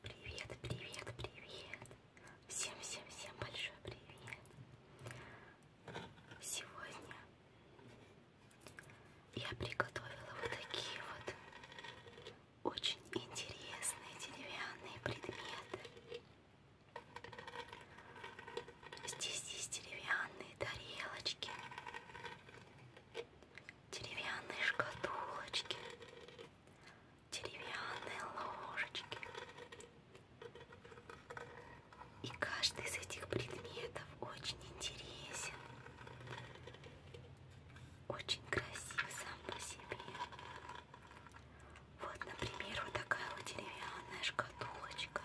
Привет, привет, привет! Всем, всем, всем большой привет! Сегодня я приготовила вот такие вот очень интересные деревянные предметы. Здесь есть деревянные тарелочки, деревянные шкатулочки, деревянные ложечки. И каждый из этих предметов очень интересен, очень красив сам по себе. Вот, например, вот такая вот деревянная шкатулочка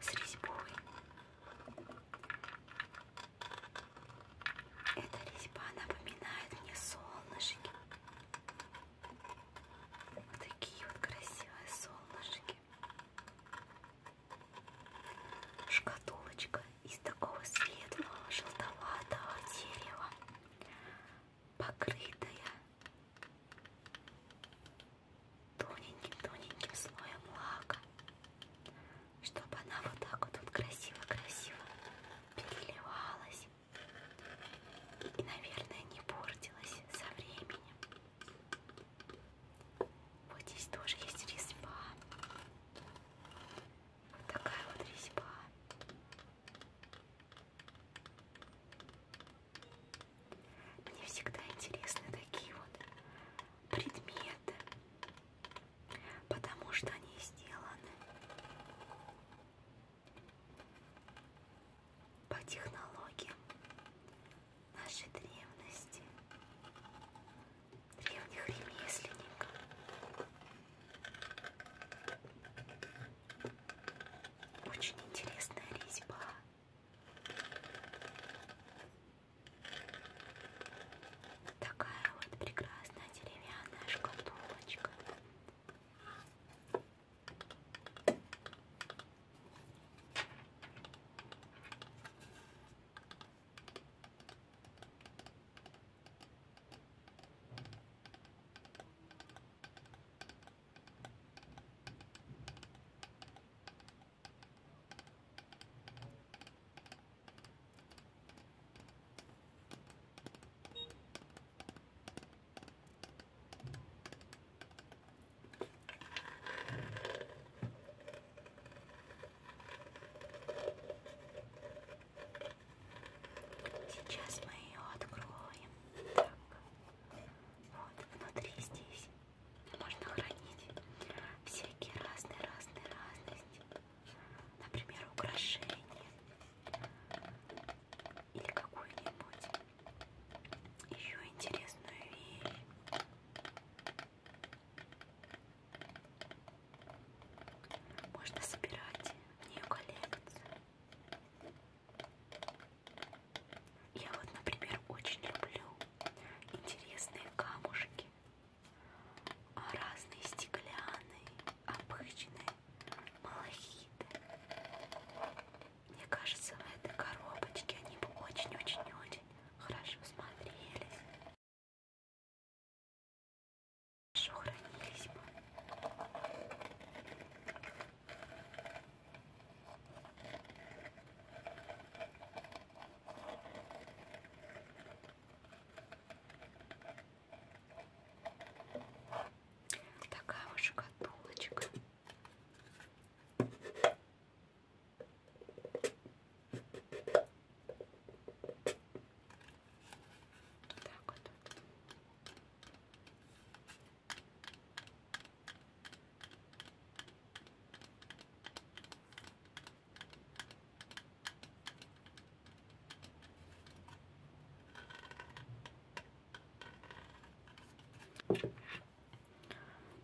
с резьбой. Эта резьба напоминает мне солнышки. Такие вот красивые солнышки. Шкатулочка из такого светлого желтоватого дерева, покрытая тоненьким-тоненьким слоем лака чтобы она вот так вот, вот красиво-красиво переливалась и, наверное, не портилась со временем. Вот здесь тоже есть резьба. Вот такая вот резьба. Мне всегда интересны такие вот предметы, потому что они сделаны по технологиям нашей древности, древних ремесленников. Очень интересная резьба. Такая вот прекрасная деревянная шкатулочка. Сейчас мы ее откроем. Так. Вот внутри здесь можно хранить всякие разные, разные, разности например, украшение или какую-нибудь еще интересную вещь. Можно собирать в нее коллекцию. Я вот, например, очень люблю интересные камушки. А разные стеклянные, обычные, малахиты. Мне кажется, в этой коробочке они бы очень-очень-очень хорошо смотрелись. Хорошо хранились бы. Такая вот шкатулочка. Так вот тут.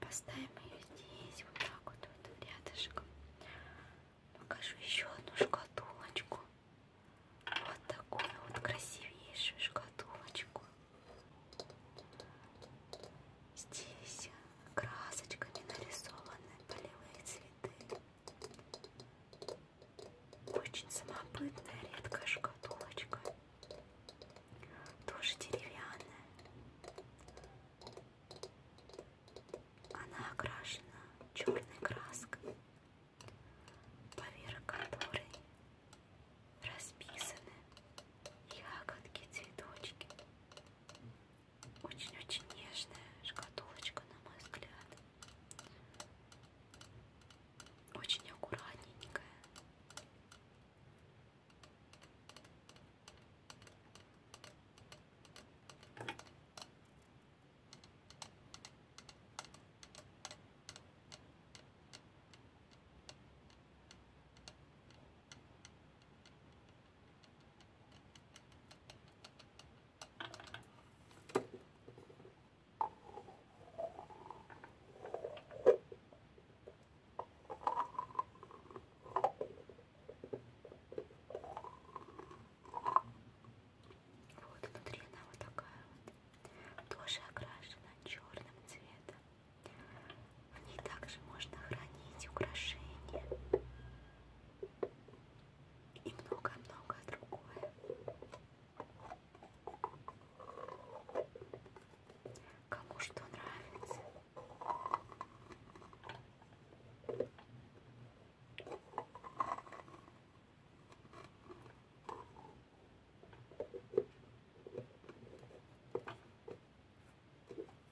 Поставим ее здесь, вот так вот, вот рядышком. Покажу еще одну шкатулочку. Вот такую вот красивейшую шкатулочку. Здесь красочками нарисованы полевые цветы. Очень самобытная редкая шкатулочка. Тоже деревянная. Она окрашена черной краской, поверх которой расписаны ягодки, цветочки. Очень-очень нежная шкатулочка, на мой взгляд. Очень аккуратненькая. Вот внутри она вот такая вот, тоже окрашена черным цветом. В ней также можно хранить украшения и много-много другое. Кому что нравится.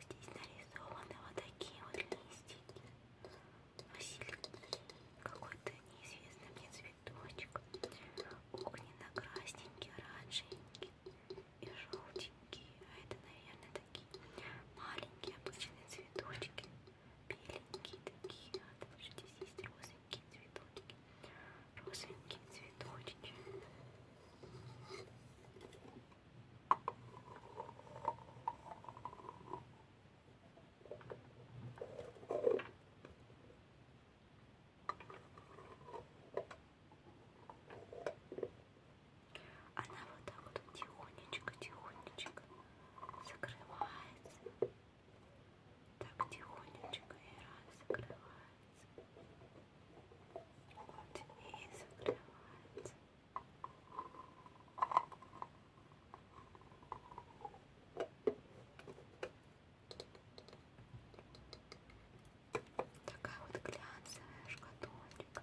Здесь нарисованы вот такие вот листики, васильки, какой-то неизвестный мне цветочек, огненно-красненький, оранжевенький и желтенький. А это, наверное, такие маленькие обычные цветочки беленькие такие, надо же, здесь есть розовенькие цветочки, розовенькие цветочки. Она вот так вот тихонечко, тихонечко закрывается. Так тихонечко и раз закрывается. Вот и закрывается. Такая вот глянцевая шкатулка.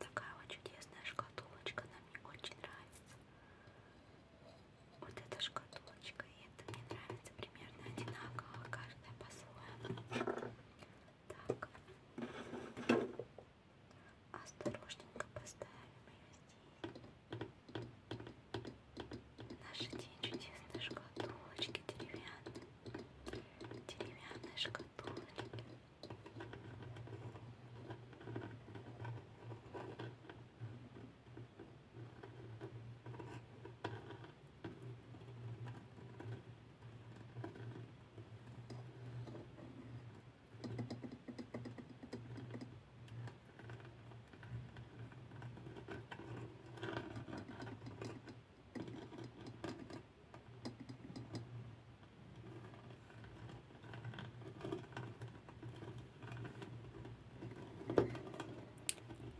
Такая вот чудесная шкатулочка, она мне очень нравится. Вот эта шкатулочка, и это мне нравится примерно одинаково, каждая по-своему. Так. Осторожненько поставим ее здесь. Наши те чудесные шкатулочки деревянные. Деревянные шкатулочки. Так,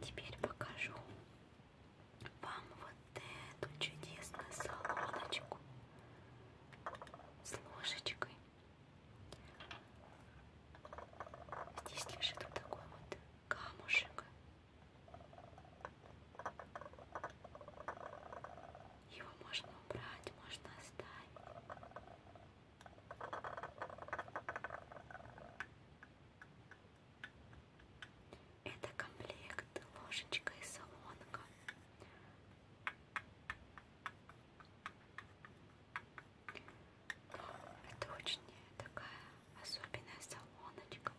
Теперь покажу вам вот эту чудесную солодочку с ложечкой. Здесь лежит вот такой вот камушек. Его можно убрать, можно оставить. Это комплект ложечка и солонка. Это очень такая особенная солоночка,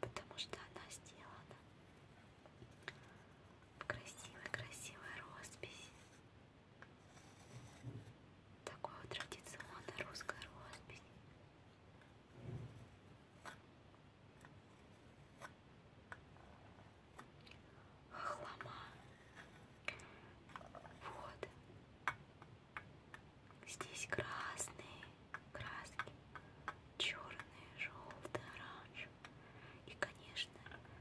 потому что она сделана в красивой-красивой росписи. Такой вот традиционная русская роспись. Хлама. Вот. Здесь красные краски, черные, желтые, оранжевые. И, конечно,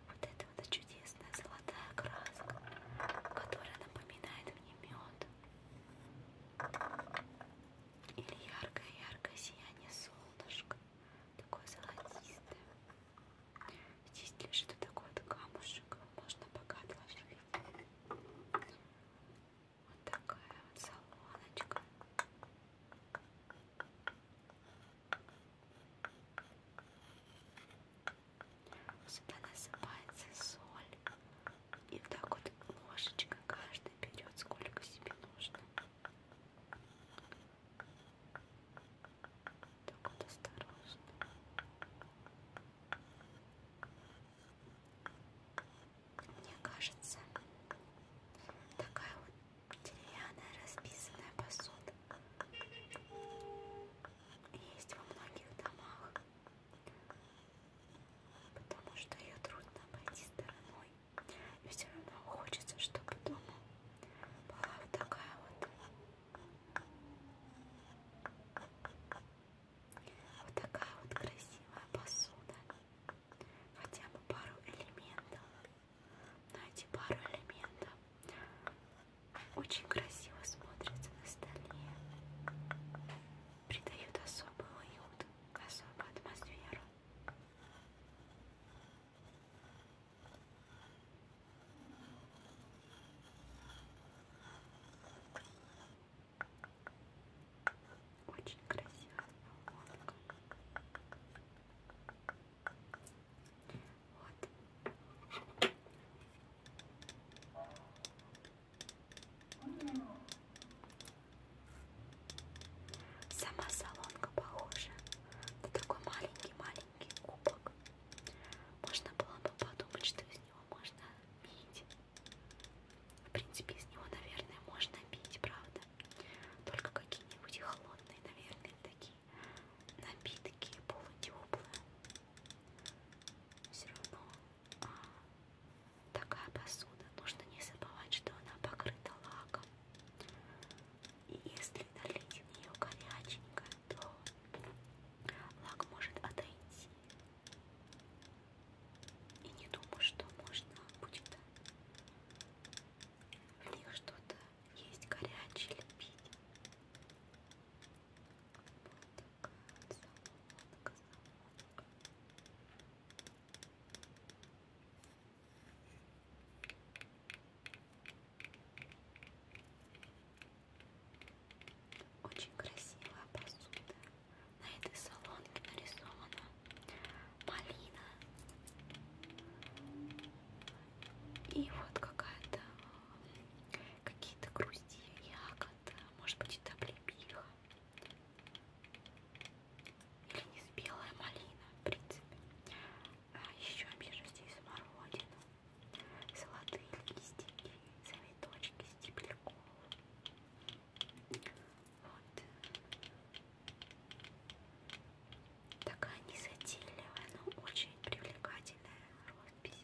вот эта вот чудесная золотая краска, которая напоминает мне мед или яркое-яркое сияние солнышка, такое золотистое. Здесь лежит вот такой вот камушек, можно пока отложить. Вот такая вот солоночка. Сюда насыпается соль, и вот так вот ложечка каждый берет сколько себе нужно. Так вот осторожно. Мне кажется, такая вот деревянная расписанная посуда есть во многих домах потому что ее трудно обойти стороной. И все равно хочется, чтобы дома была вот такая вот, вот такая вот красивая посуда. Хотя бы пару элементов. Но эти пару элементов очень красиво смотрятся на столе придают особый уют, особую атмосферу. Очень красивая поломка. Вот. Сама салонка похожа на такой маленький-маленький кубок. Можно было бы подумать, что из него можно пить. В принципе, из него, наверное, можно пить, правда. Только какие-нибудь холодные, наверное, такие напитки полутеплые. Все равно а, Такая посуда, нужно не забывать, что она покрыта лаком. И если налить в нее горяченько, то лак может отойти. И не думаю, что можно будет в них что-то есть горячее лепить. Вот такая соломка, соломка. Очень красивая посуда. На этой солонке нарисована малина. И вот какая-то какие-то грусти, ягоды, может быть, это облепиха. Или не спелая малина, в принципе. А еще вижу здесь смородину, золотые листики, цветочки стебляков. Вот. Такая незатейливая, но очень привлекательная роспись.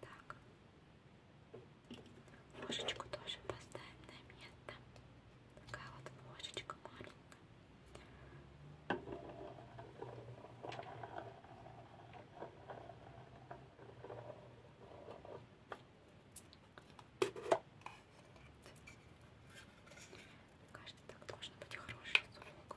Так. Ложечку тоже поставим на место. Такая вот ложечка маленькая. Мне кажется, так должен быть хороший звук.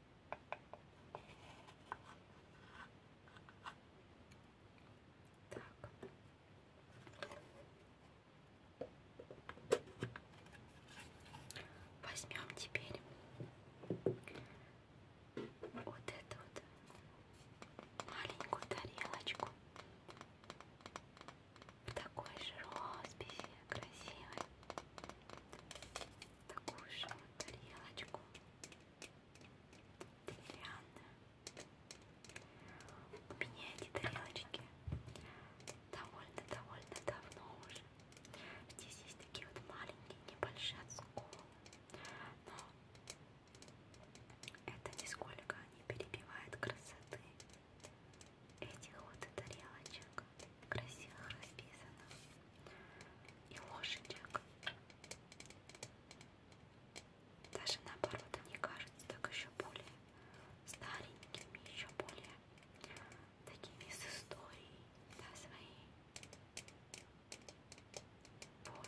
Так. Возьмем теперь вот эту вот маленькую тарелочку в такой же росписи красивой такую же тарелочку деревянную. У меня эти тарелочки довольно-довольно давно уже. Здесь есть такие вот маленькие, небольшие отсколы. Но это нисколько не перебивает красоты этих вот тарелочек красиво расписано и лошадек. Даже наоборот, они кажутся так еще более старенькими, еще более такими с историей, да, своей. Вот.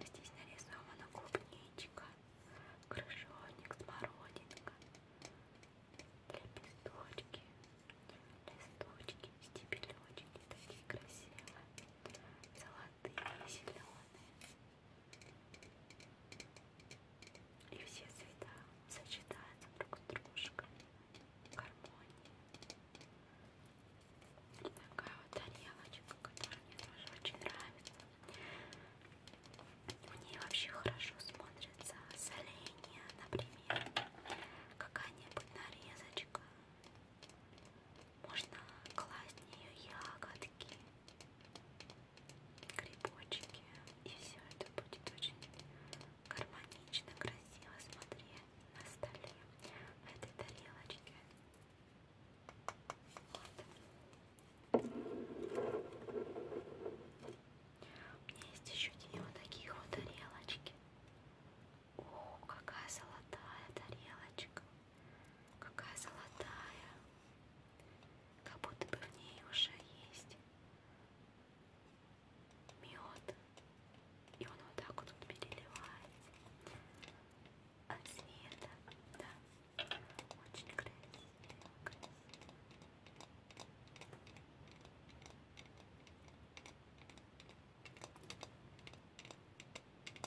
Здесь нарисована клубничка, крыжоник, смородинка, лепесточки, листочки, стебелечки такие красивые, золотые, зеленые. И все цвета сочетаются друг с дружкой в гармонии. И такая вот тарелочка, которая мне тоже очень нравится. В ней вообще хорошо смотрится соленья, например, какая-нибудь нарезочка. Можно класть в нее ягодки, грибочки. И все это будет очень гармонично, красиво. Смотри на столе, в этой тарелочке. Вот. У меня есть еще две вот таких вот тарелочки. О, какая золотая тарелочка какая золотая, как будто бы в ней уже есть мед, и он вот так вот тут переливается от а света, да, очень красиво, красиво. Ой,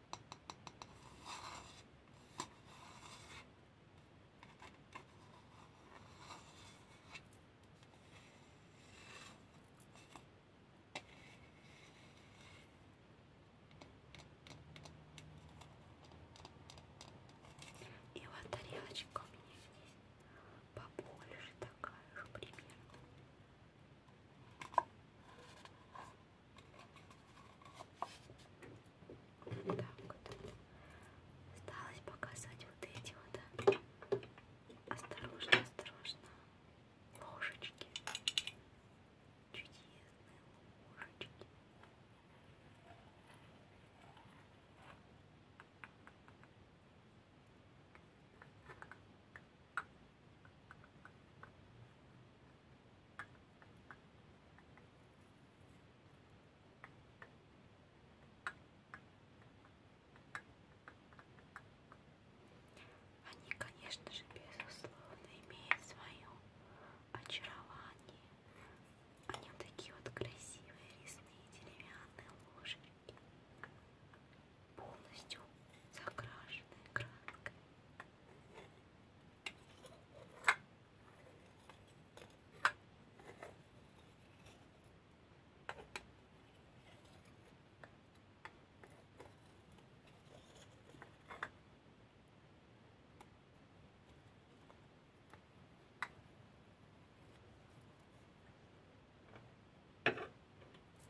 И вот тарелочка у меня здесь побольше такая же примерно. Вот так вот. Осталось показать вот эти вот. Осторожно, осторожно. Ложечки. Чудесные ложечки. Вот они, конечно же, безусловно, имеют свое очарование. Они такие вот красивые, лесные, деревянные ложечки полностью закрашенной краской.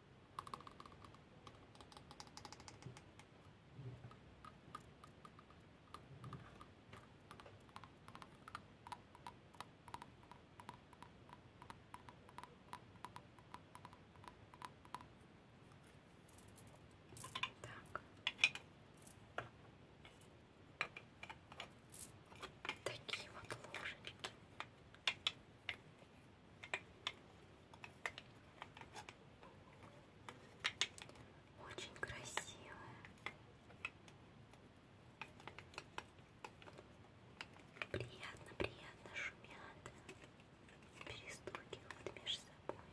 Так. Такие вот ложечки. Очень красивая. Приятно, приятно шумят, перестукивают между собой.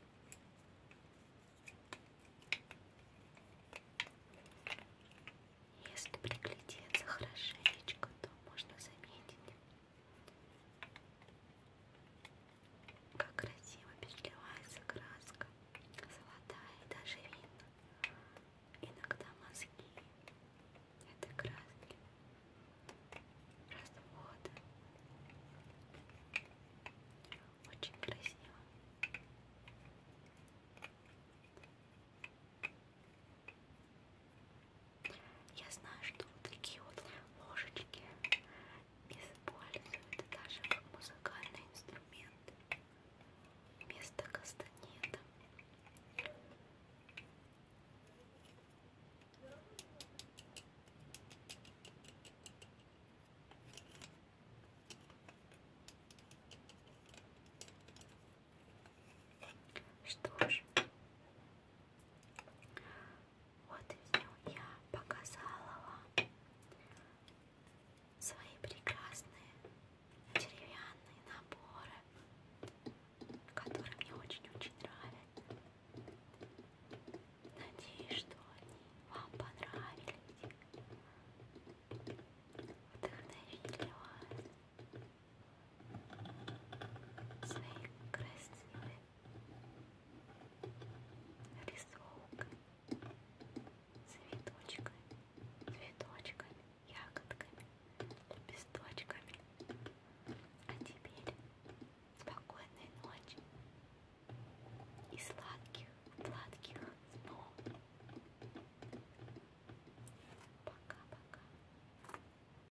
Если приглядеться хорошенечко, то можно заметить как красиво переливается краска, золотая и даже видно. Иногда мозги этой краски развода. Очень красиво. Я знаю, что вот такие вот ложечки используют даже как музыкальный инструмент вместо кастанета. Что ж, вот и я показала вам свои прекрасные деревянные наборы, которые мне очень-очень нравятся. Надеюсь, что они вам понравились, вдохновили вас своей красивой рисовкой, цветочками, цветочками, ягодками, лепесточками. А теперь спокойной ночи и сладких, сладких снов. Пока-пока.